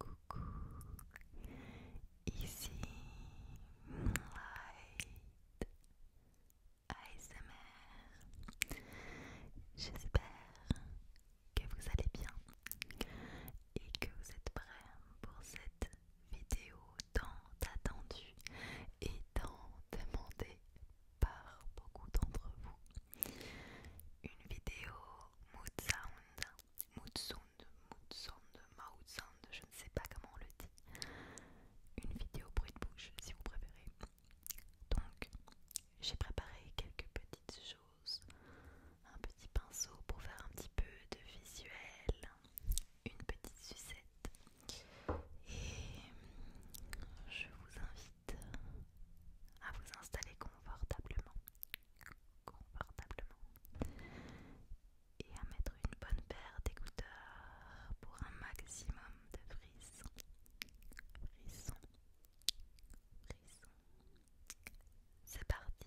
Coucou, ici Moonlight J'espère que vous allez bien et que vous êtes prêts pour cette vidéo tant attendue et tant demandée par beaucoup d'entre vous une vidéo mood sound, mood sound, mood sound, sound, je ne sais pas comment on le dit, une vidéo bruit de bouche si vous préférez. Donc j'ai préparé quelques petites choses, un petit pinceau pour faire un petit peu de visuel, une petite sucette et je vous invite à vous installer confortablement, confortablement, et à mettre une bonne paire d'écouteurs pour un maximum de frissons, frissons, frissons. C'est parti.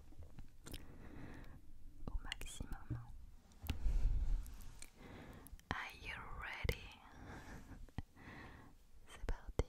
au maximum. Are you ready? C'est parti.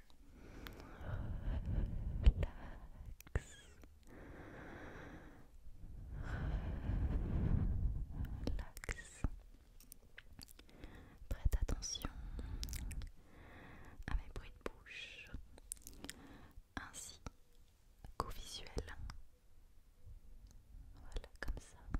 relax. Prête attention à mes bruits de bouche ainsi qu'au visuel. Voilà, comme ça.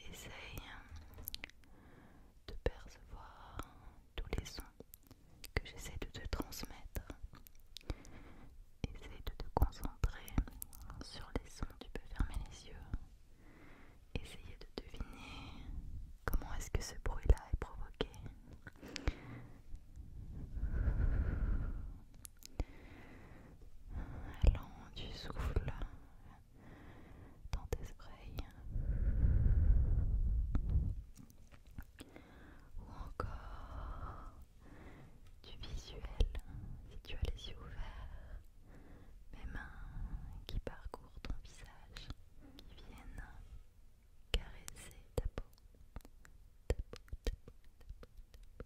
Essaye de percevoir tous les sons que j'essaie de te transmettre. Essaye de te concentrer sur les sons. Tu peux fermer les yeux Essayez de deviner comment est-ce que ce bruit-là est provoqué. Allant du souffle dans tes oreilles. Ou encore du visuel si tu as les yeux ouverts mes mains qui parcourent ton visage, qui viennent caresser ta peau. Ta peau, ta peau, ta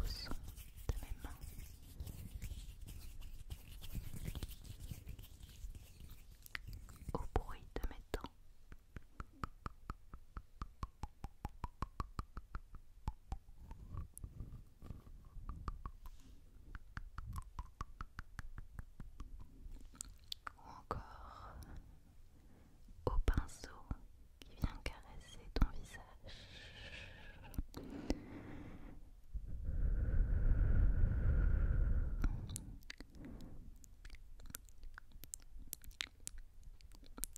Au son de mes mains. Au bruit de mes dents. Ou encore au pinceau qui vient caresser ton visage.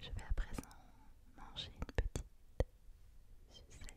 Je vais à présent manger une petite sucette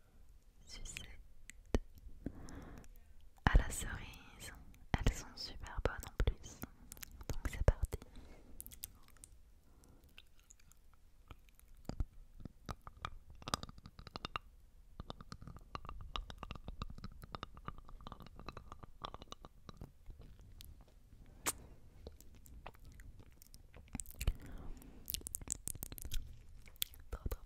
sucette à la cerise. Elles sont super bonnes en plus. Donc c'est parti. Trop trop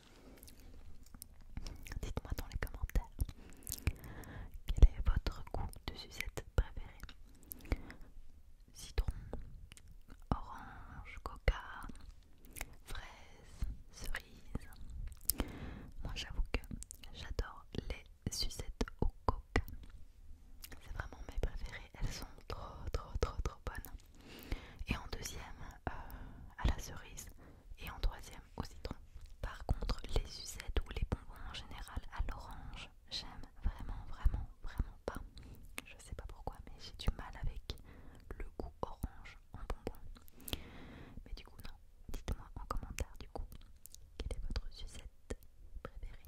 Dites-moi dans les commentaires quel est votre goût de sucette préféré Citron, orange, coca, fraise, cerise. Moi j'avoue que j'adore les sucettes au coca. C'est vraiment mes préférées, elles sont trop trop trop trop bonnes et en deuxième euh, à la cerise et en troisième au citron. Par contre, les sucettes ou les bonbons en général à l'orange, j'aime vraiment, vraiment, vraiment pas. Je sais pas pourquoi, mais j'ai du mal avec le goût orange en bonbon. Mais du coup, non. Dites-moi en commentaire, du coup, quelle est votre sucette préférée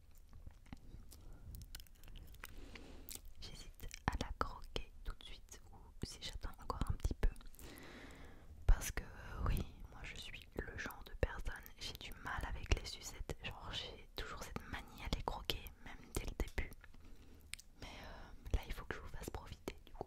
J'hésite à la croquer tout de suite ou si j'attends encore un petit peu. Parce que euh, oui, moi je suis le genre de personne, j'ai du mal avec les sucettes, genre j'ai toujours cette manie à les croquer, même dès le début. Mais euh, là il faut que je vous fasse profiter du coup.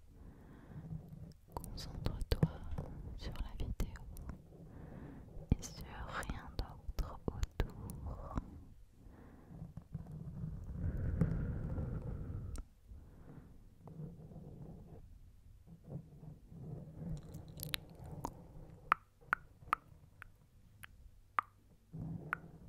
Concentre-toi sur la vidéo et sur rien d'autre autour.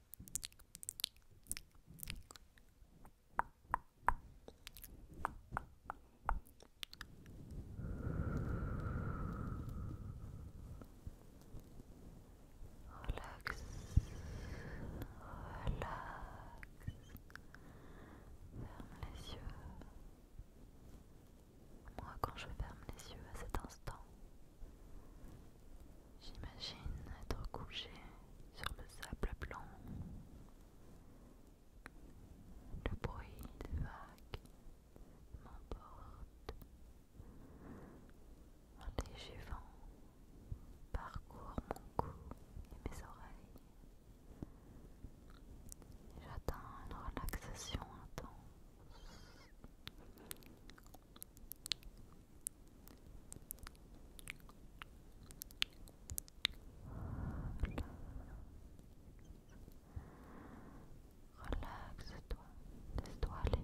Relax, relax, ferme les yeux. Moi, quand je ferme les yeux à cet instant, J'imagine être couché sur le sable blanc. Le bruit des vagues m'emporte. Un léger vent parcourt mon cou et mes oreilles. J'atteins une relaxation intense. Relaxe-toi, laisse-toi aller.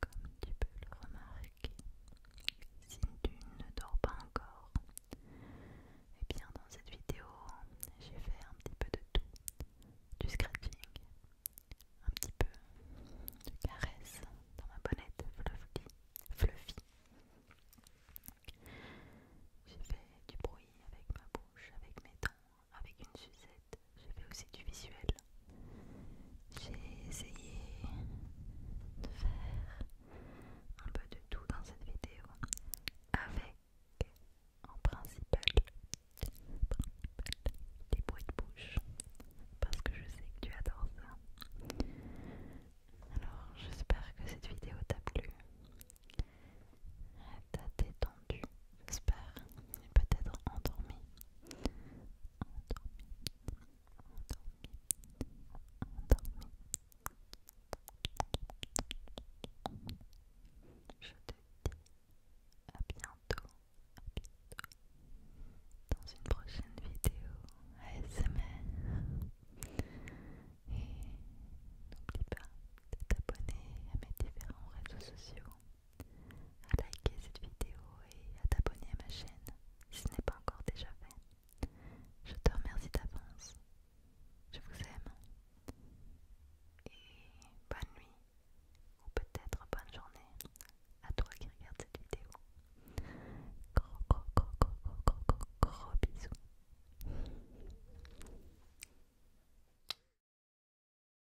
Comme tu peux le remarquer, si tu ne dors pas encore, et eh bien dans cette vidéo, j'ai fait un petit peu de tout, du scratching, un petit peu de caresse dans ma bonnette fluffy, fluffy. J'ai fait du bruit avec ma bouche, avec mes dents, avec une sucette, je fait aussi du visuel. J'ai essayé de faire un peu de tout dans cette vidéo avec en principal, des bruits de bouche parce que je sais que tu adores ça. Alors j'espère que cette vidéo t'a plu. T'as détendu, j'espère, peut-être endormi. Je à bientôt, à bientôt dans une prochaine vidéo ASMR. Et n'oublie pas de t'abonner à mes différents réseaux sociaux à liker cette vidéo et à t'abonner à ma chaîne si ce n'est pas encore déjà fait. Je te remercie d'avance. Je vous aime. Et bonne nuit ou peut-être bonne journée à toi qui regarde cette vidéo. Gros gros gros gros gros gros gros, gros bisous.